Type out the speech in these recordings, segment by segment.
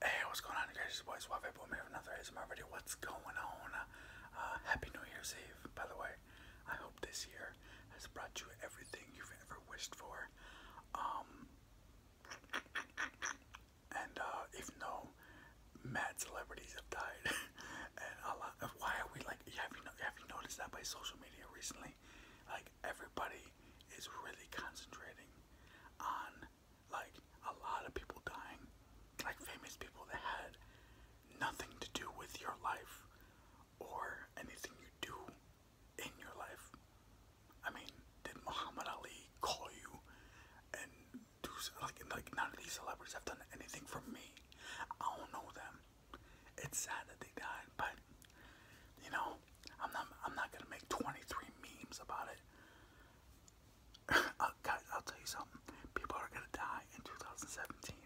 hey, what's going on, you guys? It's your boy another ASMR video. What's going on? Uh, uh, Happy New Year's Eve, by the way. I hope this year has brought you everything you've ever wished for. Um, and uh, if no mad celebrities have died, and a lot of why are we like, have have you noticed that by social media recently? Like everybody is really concentrating on like a lot of people dying, like famous people that had nothing to do with your life or anything you do in your life. I mean, did Muhammad Ali call you and do like like none of these celebrities have done anything for me? I don't know them. It's sad that they died, but you know, I'm not I'm not gonna make 23 memes about it. I'll, uh, I'll tell you something. People are gonna die in 2017,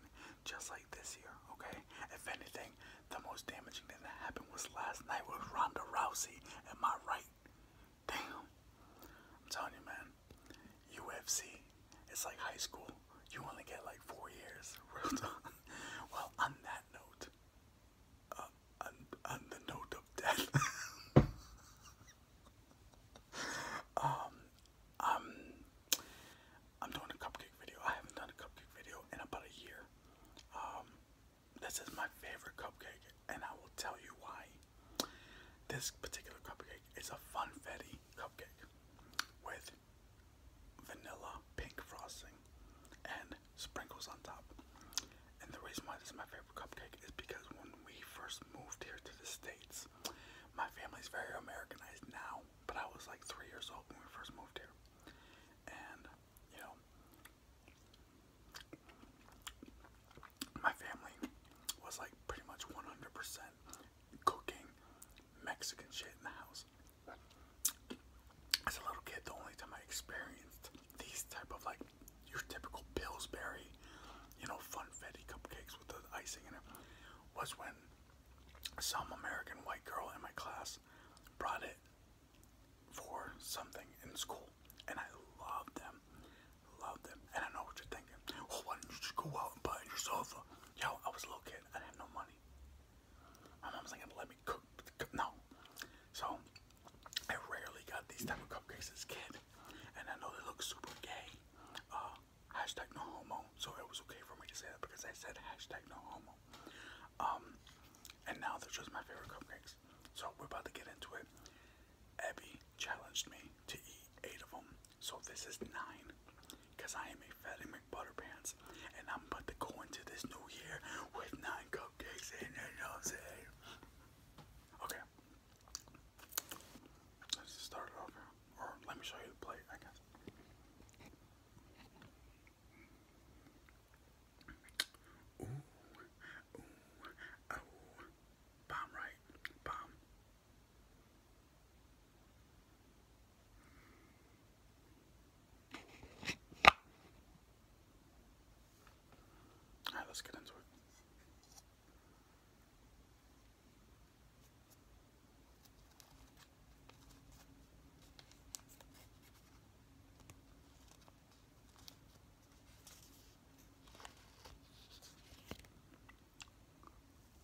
just like this year. Okay. If anything, the most damaging thing that happened was last night with Ronda Rousey. Am I right? Damn. I'm telling you, man. UFC. It's like high school. You only get like four years. Real talk. well, on that note, uh, on, the note of death. um, i um, I'm doing a cupcake video. I haven't done a cupcake video in about a year. Um, this is my favorite cupcake, and I will tell you why. This particular cupcake is a funfetti cupcake with vanilla pink frosting and sprinkles on top. And the reason why this is my favorite cupcake is because when we first moved here to the States, my family's very Americanized now, but I was like three years old when we first moved here. And, you know, my family was like pretty much 100% cooking Mexican shit in the house as a little kid, the only time I experienced these type of like your typical Pillsbury, you know, funfetti cupcakes with the icing in it, was when some American white girl in my class brought it for something in school, and I loved them, loved them. And I know what you're thinking. Well, oh, why didn't you just go out and buy yourself? A... Yo, I was a little kid. I had no money. My mom's not let me cook. No. So I rarely got these type of cupcakes as kid, and I know they look super gay. Uh, So it was okay for me to say that because I said hashtag um, and now they're just my favorite cupcakes. So we're about to get into it. Abby challenged me to eat eight of them, so this is nine because I am a Fatty McButterpants, and I'm about to go into this new year with nine cupcakes in it, nose. Okay. Let's start it over. Or let me show you the plate, I guess. Ooh, ooh, oh, bomb right, bomb. Alright, let's get into it.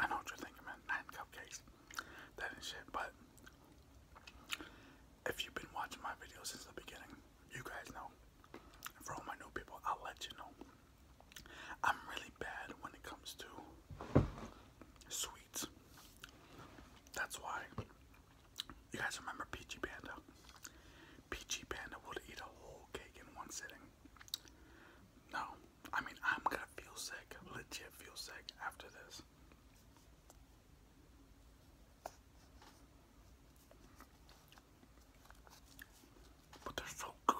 I know what you're man. cupcakes that and shit. But if you've been watching my videos since the beginning, you guys know. for all my new people, I'll let you know. I'm really bad when it comes to sweets. That's why you guys remember Peachy Panda. Peachy Panda would eat a whole cake in one sitting. No, I mean I'm gonna feel sick, legit feel sick after this. But they're so good.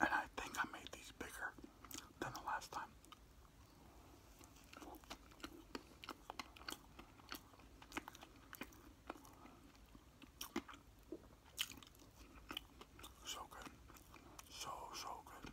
And I think I made these bigger than the last time. So good. So, so good.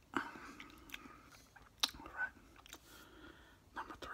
All right. Number three.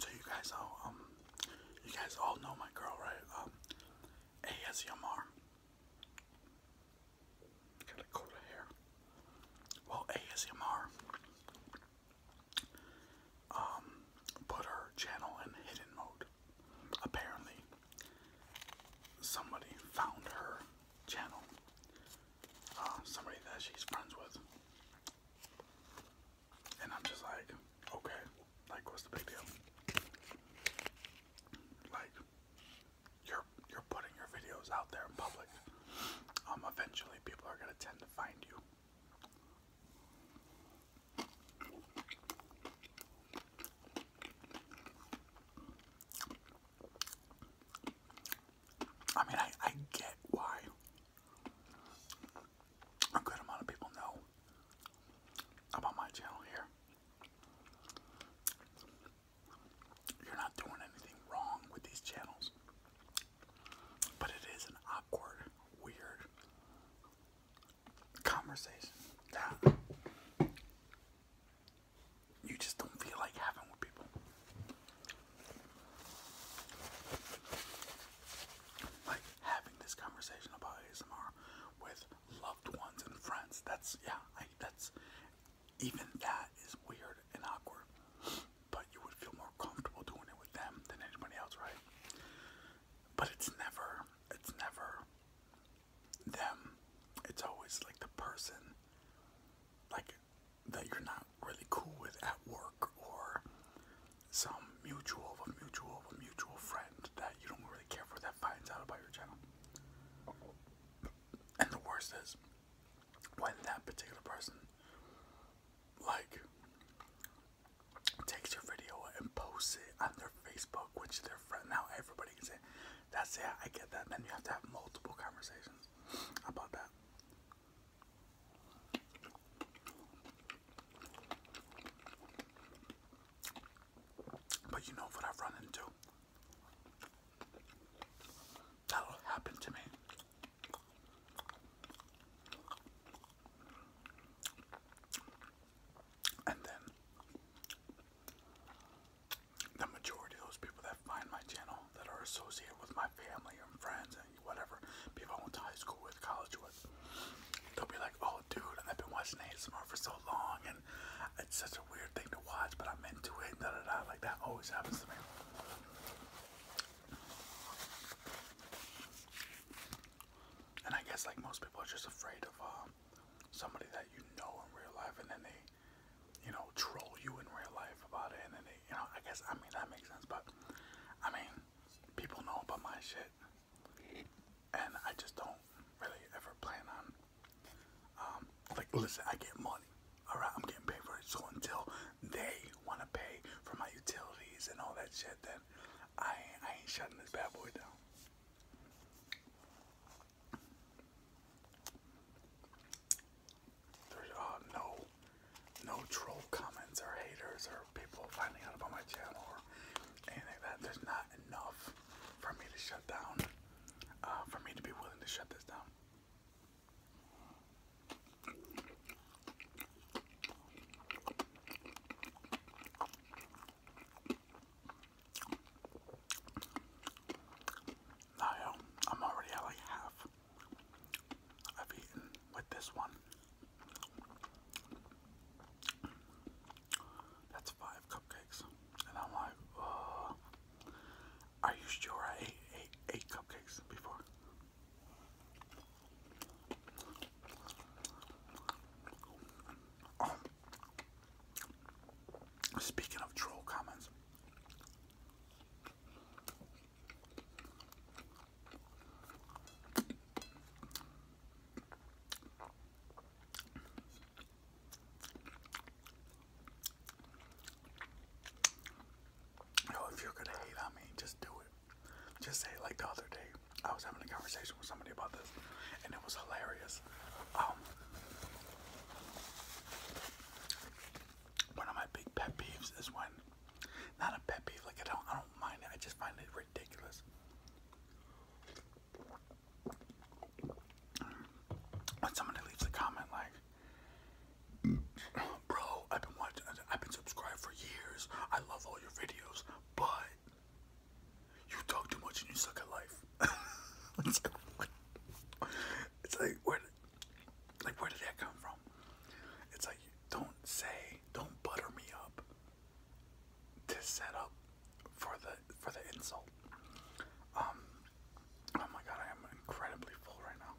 So you guys all um, you guys all know my girl, right? ASMR. Um, Got a coat of Well ASMR um put her channel in hidden mode. Apparently somebody found her channel. Uh, somebody that she's friends with. And I'm just like, okay, like what's the big deal? Like you're you're putting your videos out there in public. Um eventually people are gonna tend to find you. I mean I, I get why a good amount of people know about my channel here. You're not doing anything wrong with these channels, but it is an awkward, weird conversation that you just don't feel like having with people. Like having this conversation about ASMR with loved ones and friends. That's yeah, that's even that is weird and awkward. But you would feel more comfortable doing it with them than anybody else, right? But it's never it's never them. It's always like the person like that you're not really cool with at work or some mutual of a mutual of a mutual friend that you don't really care for that finds out about your channel. And the worst is when that particular person like takes your video and posts it on their Facebook, which their friend now everybody can say, That's it, I get that. then you have to have multiple conversations about that. But you know what I've run into? That'll happen to me. And then the majority of those people that find my channel that are associated with my family and friends whatever people I went to high school with, college with. They'll be like, "Oh, dude, I've been watching ASMR for so long, and it's such a weird thing to watch, but I'm into it." Da da da. Like that always happens to me. And I guess like most people are just afraid of uh, somebody that you know in real life, and then they, you know, troll you in real life about it, and then you know, I guess I mean that makes sense, but I mean, people know about my shit, and I just don't really ever plan on. Um, like, listen, I get money. All right, I'm getting paid for it. So until they want to pay for my utilities and all that shit, then I I ain't shutting this bad boy down there's uh, no no troll comments or haters or people finding out about my channel or anything that. There's not enough for me to shut down, uh, for me to be willing to shut this down. I'm already at like half. I've eaten with this one. That's five cupcakes. And I'm like, are you sure I ate eight, cupcakes before? Oh. speaking of troll comments, Yo, if you're gonna hate on me, just do it. Just say it like the other day. I was having a conversation with somebody about this, and it was hilarious. Um, one of my big pet peeves is when, not a pet peeve, like I don't, I don't mind it. I just find it ridiculous. When somebody leaves a comment like, "Bro, I've been watching, I've been subscribed for years. I love all your videos, but you talk too much and you suck at life." it's like, it's like, where did that come from? It's like, don't say, don't butter me up to set up for the for the insult. Um, oh my god, I am incredibly full right now.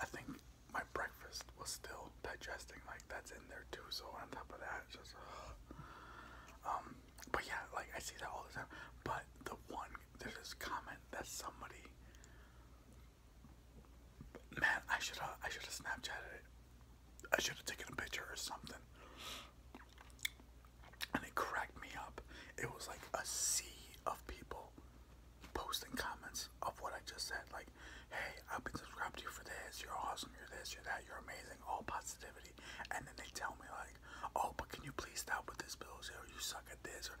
I think my breakfast was still digesting, like that's in there too. So on top of that, just. Uh, um, but yeah, like I see that all the time. But the one there's this comment that somebody man I should have I should have snapchatted it I should have taken a picture or something and it cracked me up it was like a sea of people posting comments of what I just said like hey I've been subscribed to you for this you're awesome you're this you're that you're amazing all positivity and then they tell me like oh, but can you please stop with this bullshit or you suck at this or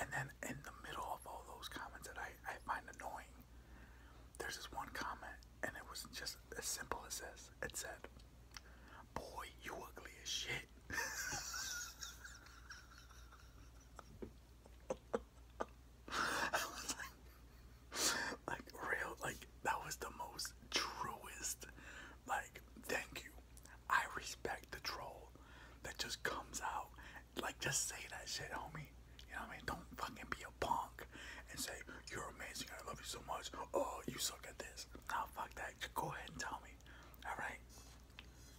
and then in the middle of all those comments that I, I find annoying, there's this one comment and it was just as simple as this. It said, Boy, you ugly as shit. I was like, like real, like that was the most truest, like thank you I respect the troll that just comes out. Like, just say that shit, homie. You know what I mean? Don't fucking be a punk and say, you're amazing, I love you so much. Oh, you suck at this. Nah, fuck that. Just go ahead and tell me. Alright?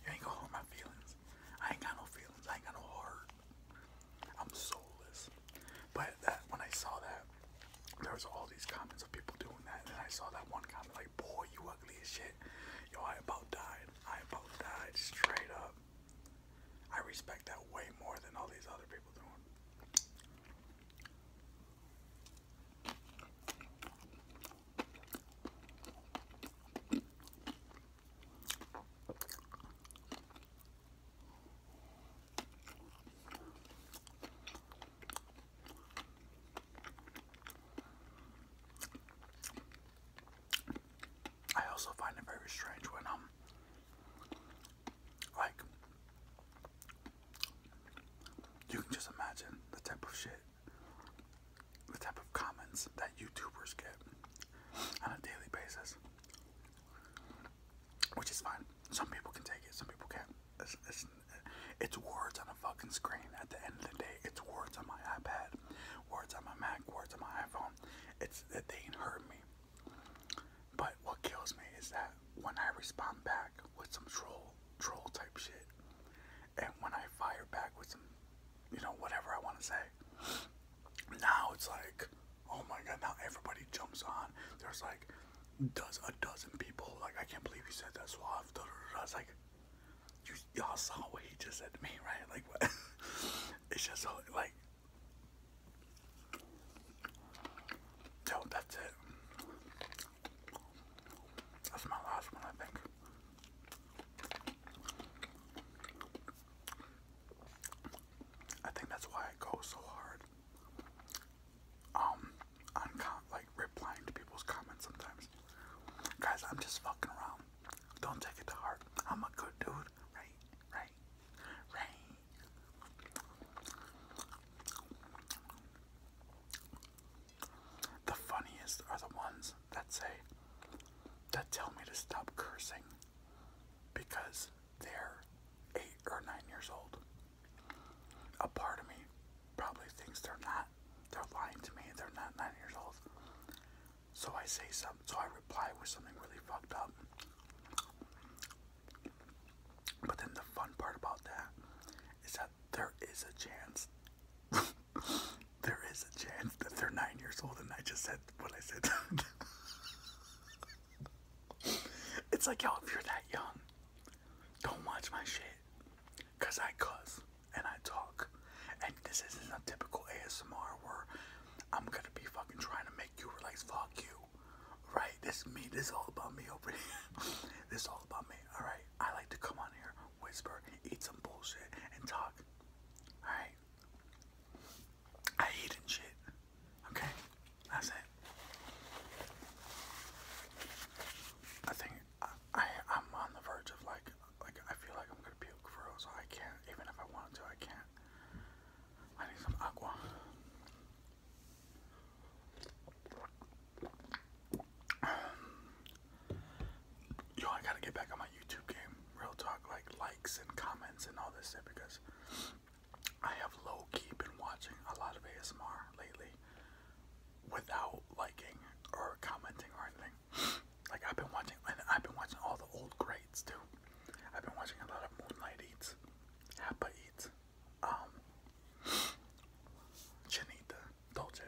You ain't gonna hurt my feelings. I ain't got no feelings. I ain't got no heart. I'm soulless. But that when I saw that, there was all these comments of people doing that, and I saw that one comment like, boy, you Yo, I about died. I about died straight up. I respect that way more than all these other people doing. I also find it very strange when um like you can just imagine the type of shit the type of comments that YouTubers get on a daily basis. Which is fine. Some people can take it, some people can't it's, words on a fucking screen. At the end of the day, it's words on my iPad, words on my Mac, words on my iPhone. It's that they ain't hurt me. But what kills me is that when I respond back with some troll, troll type shit, and when I fire back with some, you know, whatever I want to say, now it's like, oh my god, now everybody jumps on. There's like does a dozen people. Like, I can't believe he said that So Da, da, da, like, you, y'all saw what he just said to me, right? Like, what? it's just so, like, yo, that's it. That's my last one, I think. I think that's why I go so hard um I'm like replying to people's comments sometimes. Guys, I'm just fucking around. Don't take it to heart. I'm a good dude, right? Right? Right? The funniest are the ones that say that tell me to stop cursing because they're eight or nine years old a part of me probably thinks they're not, they're lying to me, they're not nine years old. So I say something, so I reply with something really fucked up. But then the fun part about that is that there is a chance, there is a chance that they're nine years old and I just said what I said. it's like, yo, if you're that young, don't watch my shit. Cause I cuss and I talk. And this isn't a typical ASMR where I'm gonna be fucking trying to make you realize fuck you. Right? This me, this is all about me over here. this is all about me, alright? I like to come on here, whisper, eat some bullshit, and talk. Alright? I eat and shit. Okay? That's it. I think I, I am on the verge of like like I feel like I'm gonna puke for real, so I can't even if I wanted to I can't. I need some aqua. Yo, I gotta get back on my YouTube game, real talk, like likes and comments and all this shit because I have low key been watching a lot of ASMR lately without liking or commenting or anything. Like I've been watching and I've been watching all the old greats too. I've been watching a lot of Moonlight Eats, Happa Eats, um Chinita, Dolce.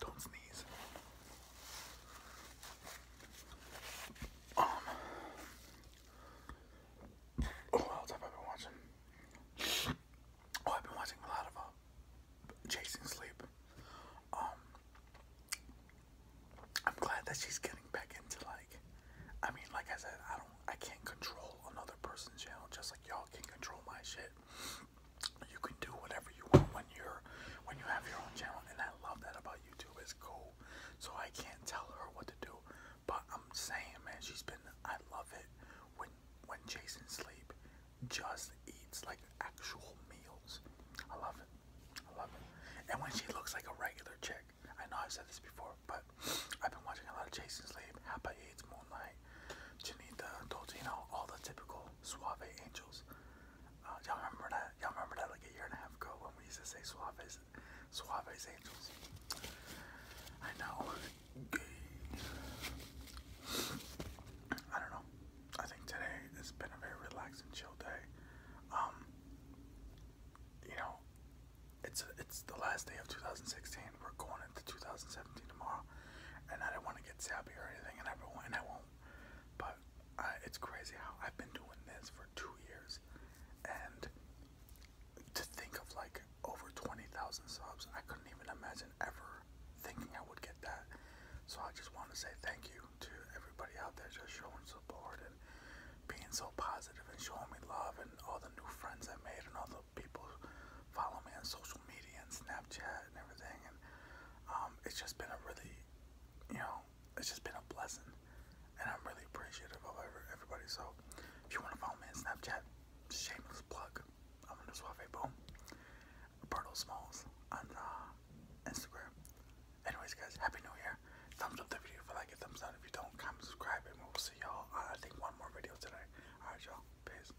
Don't sneeze. Oh, what else have I been watching? Oh, I've been watching a Chasing uh, Sleep. Um. I'm glad that she's getting back into like. I mean, like I said, I don't. I can't control another person's channel just like y'all can control my shit you can do whatever you want when you're when you have your own channel and I love that about YouTube. It's cool. So I can't tell her what to do. But I'm saying man, she's been I love it when when Jason sleep just eats like actual meals. I love it. I love it. And when she looks like a regular chick. I know I've said this before, but I've been watching a lot of Jason Sleep, Happy Aids, Moonlight, Janita, Dolcino, all the typical suave angels. Uh, y'all remember that? Y'all remember that like a year and a half ago when we used to say Suave's, Suave's Angels? I know. I don't know. I think today it has been a very relaxing, chill day. Um, you know, it's it's the last day of 2016. We're going into 2017 tomorrow, and I don't want to get sappy or anything, and I will and I won't but it's crazy how I've been doing this for two years, and to think of like over 20,000 subs, I couldn't even imagine ever thinking I would get that. So I just want to say thank you to everybody out there just showing support and being so positive and showing me love and all the new friends I made and all the people follow me on social media and Snapchat and everything. And um, it's just been a really, you know, it's just been a blessing. And I'm really appreciative of everybody. So if you want to follow me on Snapchat, shameless plug. I'm going to Suave Boom. Roberto Smalls on uh, Instagram. Anyways, guys, Happy New Year. Thumbs up the video if you like it. Thumbs up if you don't. Comment, subscribe, and we'll see y'all. I think one more video today. Alright, y'all. Peace.